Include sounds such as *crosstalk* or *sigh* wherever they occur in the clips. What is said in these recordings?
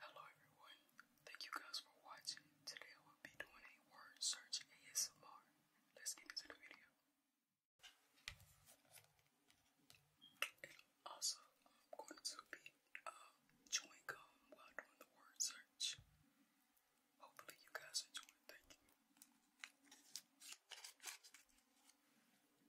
Hello everyone, thank you guys for watching. Today I will be doing a word search ASMR. Let's get into the video. also, I'm going to be um, chewing gum while doing the word search. Hopefully you guys enjoy Thank you.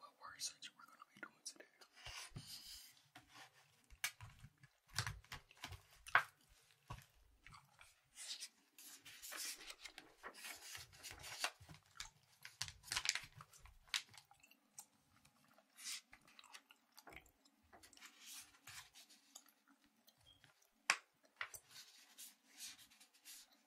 What word search we're gonna be doing today?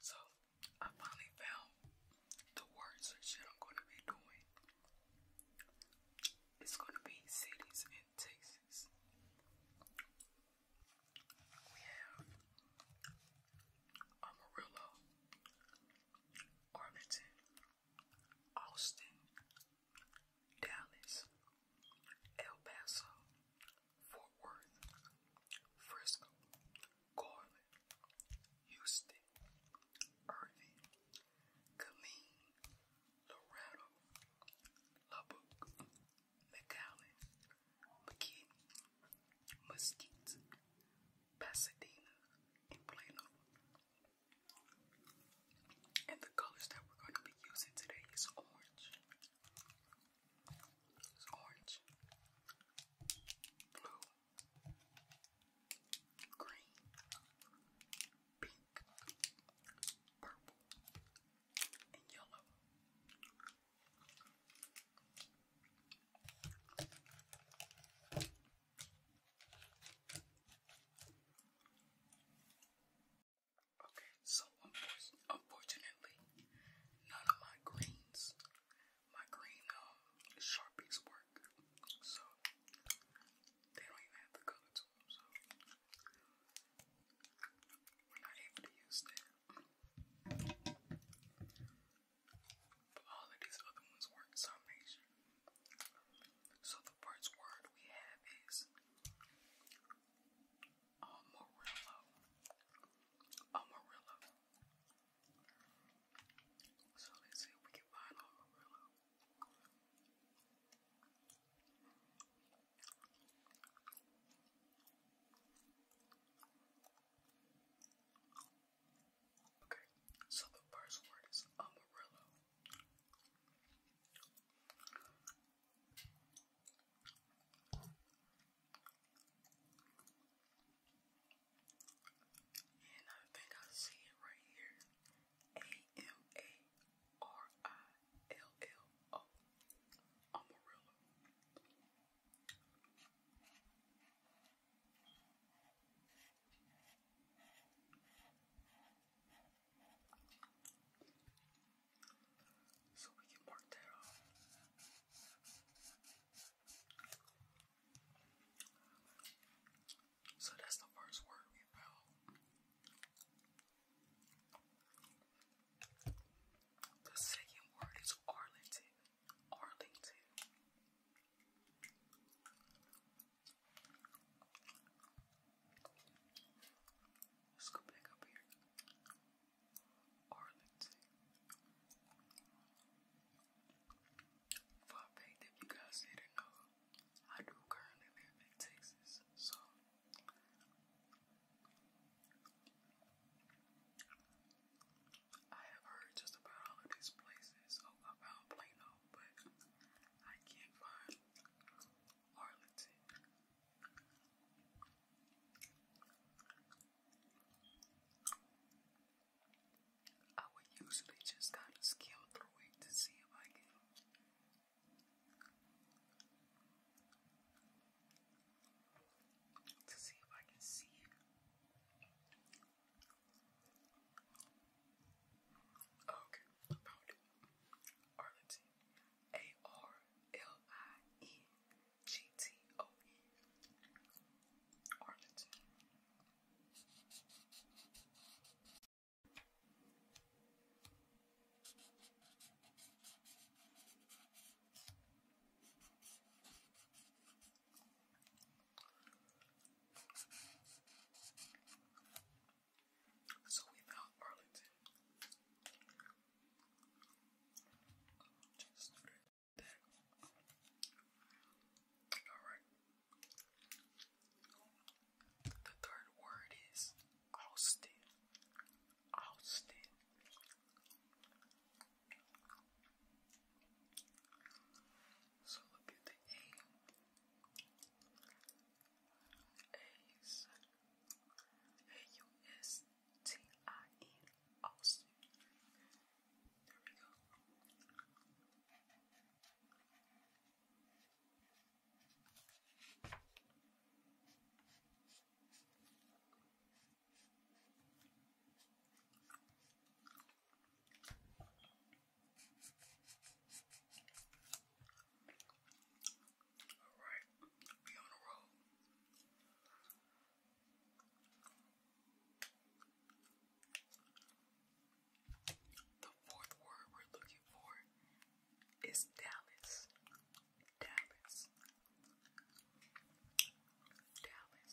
So I finally found the words and shit I'm gonna be doing. It's gonna be cities in Texas. We have Amarillo, Arlington, Austin, Dallas, El Paso, Fort Worth, Frisco, Garland, Houston, Irving, Killeen, Laredo, Lubbock, McAllen, McKinney, Mesquite, Pasadena, and Plano. And the colors that we're going to be using today is orange, orange, blue, green, pink, purple, and yellow. Okay, so unfortunately, none of my greens, my green um, sharpies work, so they don't even have the color to them, so we're not able to use them. But all of these other ones work, so I So the first word we have is Amarillo. Amarillo. So let's see if we can find Amarillo. Okay, so the first word is Amarillo. And I think I see it right here. A-M-A-R-I-L-L-O. Amarillo. So we can mark that off. So that's the first word we found. The second word is Arlington. Arlington. Let's go back up here. Arlington. For a fact, if you guys didn't know, I do currently live in Texas, so I have heard just about all of these places oh, about Plano, but I can't find Arlington. I would usually just kind of skim through it to see if I can to see if I can see Okay, I it. Arlington. A R L I N G-T-O-E, Arlington. So we found Arlington. Just do Alright. The third word is Austin. Austin. So look at the A. A's. A-U-S. T I E Austin. There we go. Alright, be on the road. The fourth word we're looking for is Dallas. Dallas. Dallas.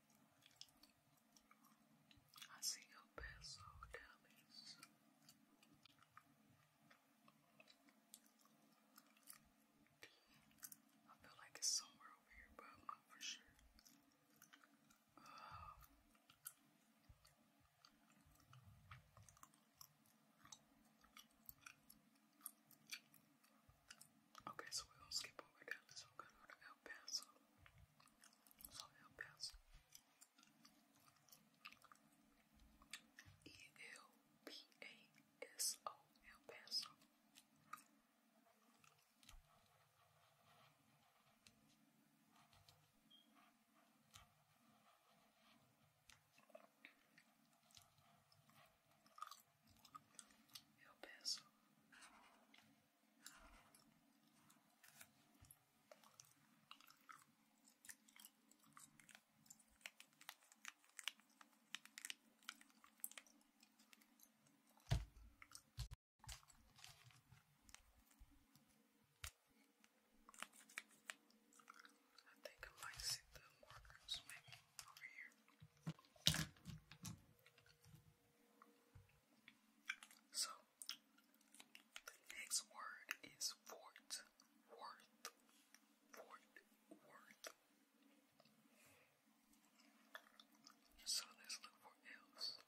I see your pencil, dummies. I feel like it's somewhere over here, but not for sure. Uh, okay, so we're skip over that. we're go to El Paso. eu penso. E eu p eu penso. Eu penso. I think I might see the markers maybe over here. So the next word is fort, worth, fort, worth. So let's look for else.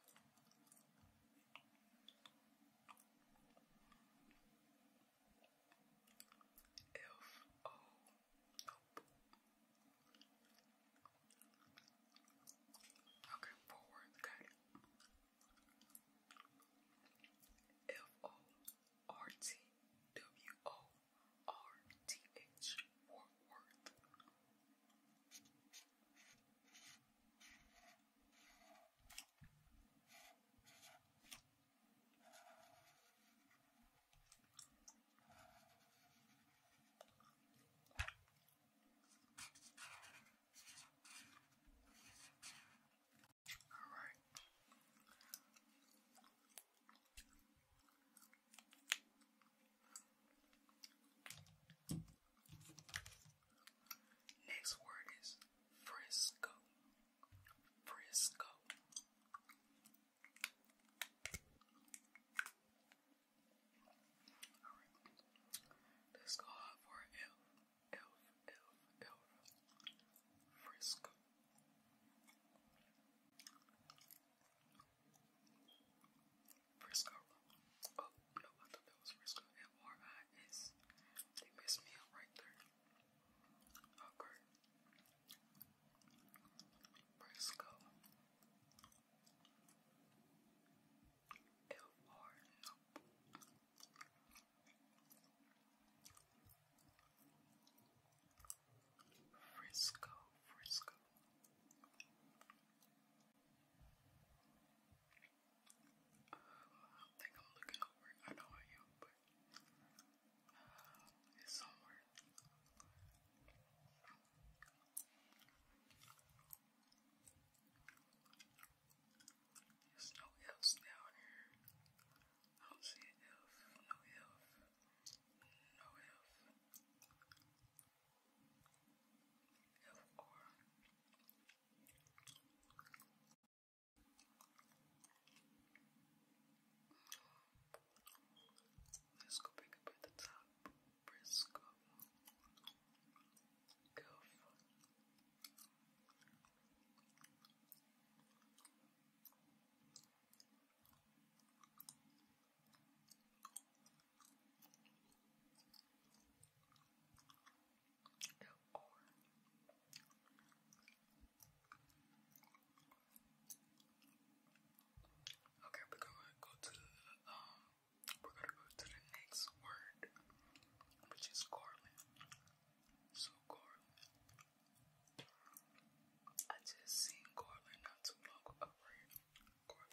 F O nope. Okay, forward, good. F O R T W O R T H Forward. All right. Next word is Frisco. Frisco. Alright. Let's go for an elf. Elf, elf, elf. Frisco. Oh, no, I thought that was Frisco. M-R-I-S. They messed me up right there. Okay. Frisco. It warms Frisco, Frisco. Um, I think I'm looking over. I know I am, but uh, it's somewhere. There's no F's down here. I don't see an F, no F, no F. F or. Let's go back up at the top. Briscoe Goof or Okay, we're going go to um we're gonna go to the next word, which is garland. So garland. I just seen garland not too long ago. Garland.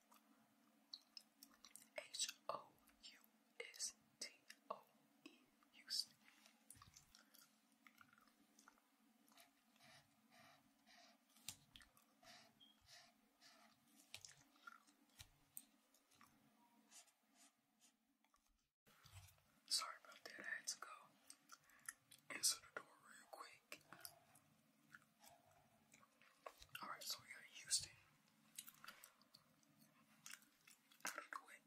H O U S T O E Houston. Sorry about that, I had to go answer the door real quick. Alright, so we got Houston. Out of the way.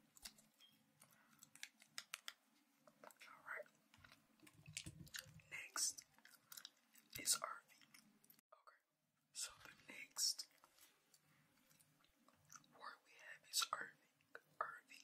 Alright. Next is Irving. Okay. So the next word we have is Irving. Irving.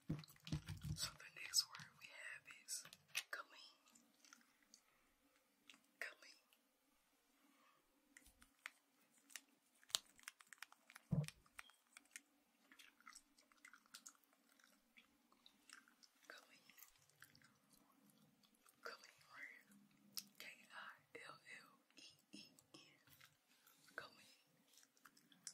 So the next word we have is clean. Clean. Clean. Clean word. K-I-L-L-E-E-N. Clean.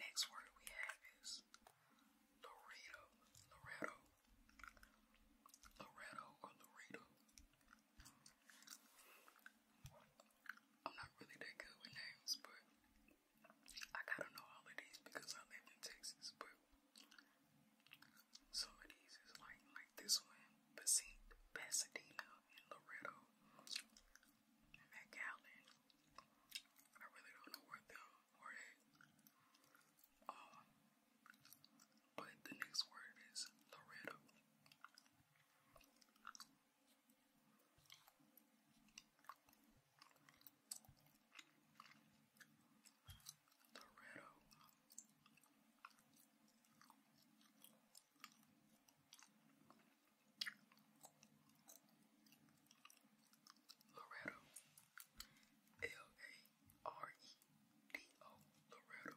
Next word we have is Laredo, Loretto, Loretto or Laredo. I'm not really that good with names, but I gotta know all of these because I live in Texas, but some of these is like like this one, Pasadena and McAllen. I really don't know where them were Um, but the next word is Loretto. Dorado. Loretto, L-A-R-E-D-O, Loretto.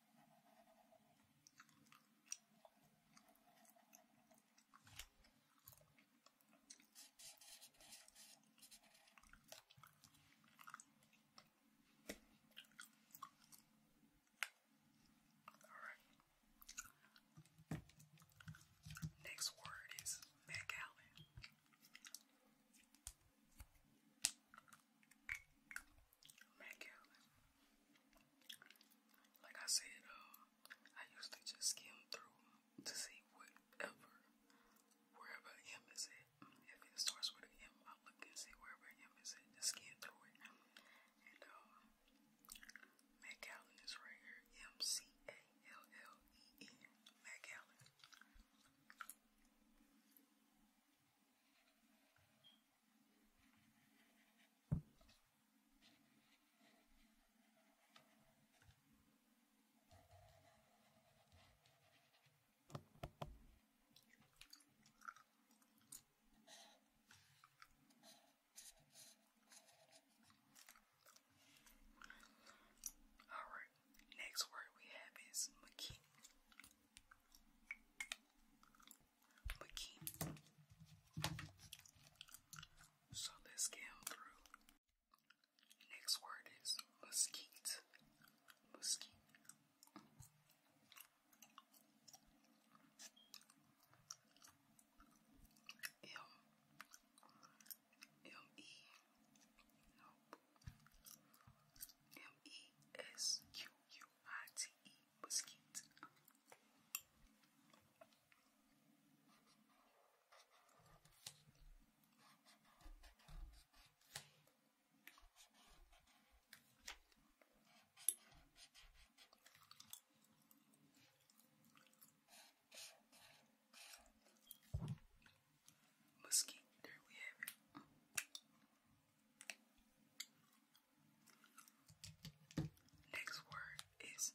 Alright. Next word is McAllen. Mac Like I said, uh, I usually just skim through to see whatever, wherever M is it. If it starts with an M, I'll look and see wherever M is at, just skim through it. And uh, Mac is right here, M C A L L E N, Mac Alright, next word we have is McKinney wiki. So let's skim through. Next word is mesquite. Mesquite. M. M E was cute. Musky, there we have it. Next word is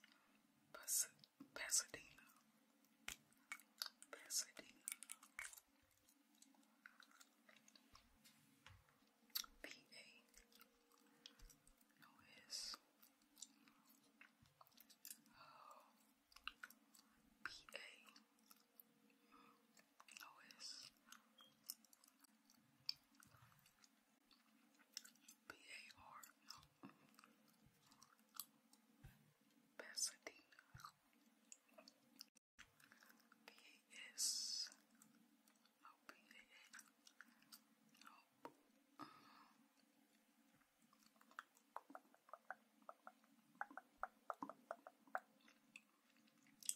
Pasadena. Pasadena. P A. No S. Oh. P A. No S. P-A-R Pasadena P-A-S No P-A-A Nope uh -huh.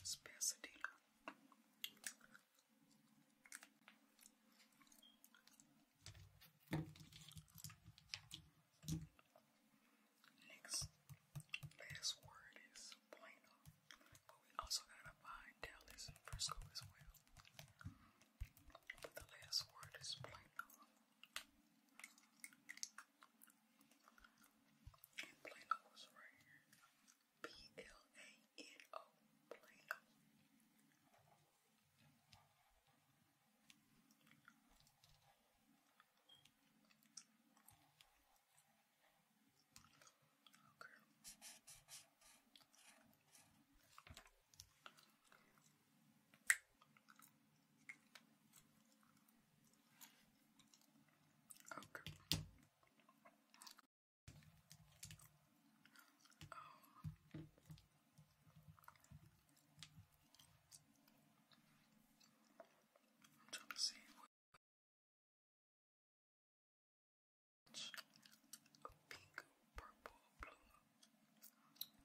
It's Pasadena. Next last word is Plano, but we also gotta find Dallas and Frisco as well. the last word is Plano. And Plano right here. P-L-A-N-O. Plano. Okay. Okay. Um, I'm trying to see what pink, purple, blue.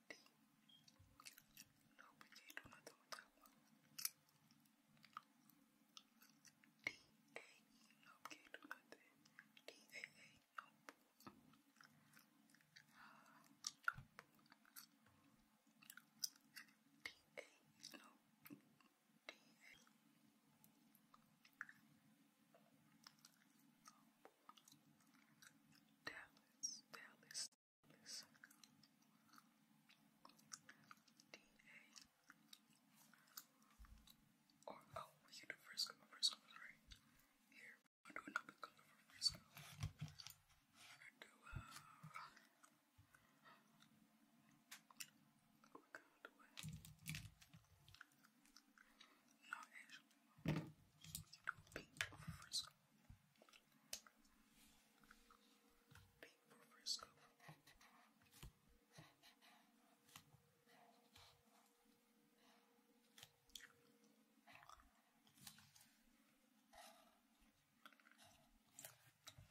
tea. you nope, can't nothing. D-A-A, nope. Uh, nope. D-A, nope. Dallas, Dallas, is D-A or oh, we do first go, is right here. i do another color for first i do, uh, oh my god, what? No, actually, we do pink for first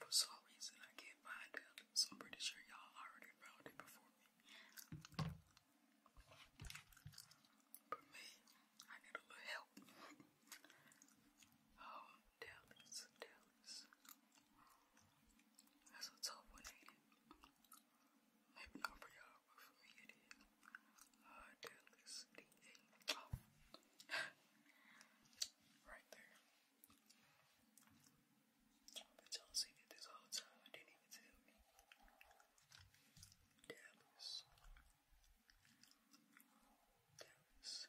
for some reason, I can't find it, so I'm pretty sure y'all already found it before me. But me, I need a little help. oh, Dallas, Dallas. That's a tough one, Maybe not for y'all, but for me it is. Uh, Dallas, D-A. Oh. *laughs* right there. y'all seen it this whole time. I didn't even tell me. Dallas. Those. All right. So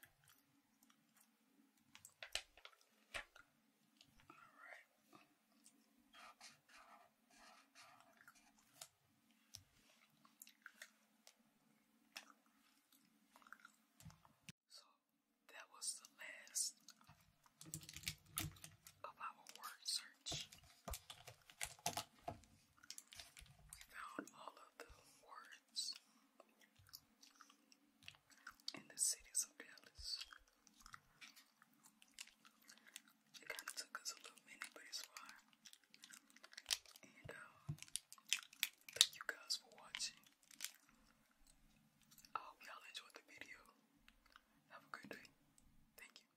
that was the last of our word search. We found all of the words in the cities of Dallas. It kind of took us a little minute, but it's fine. And uh, thank you guys for watching. I hope y'all enjoyed the video. Have a good day. Thank you.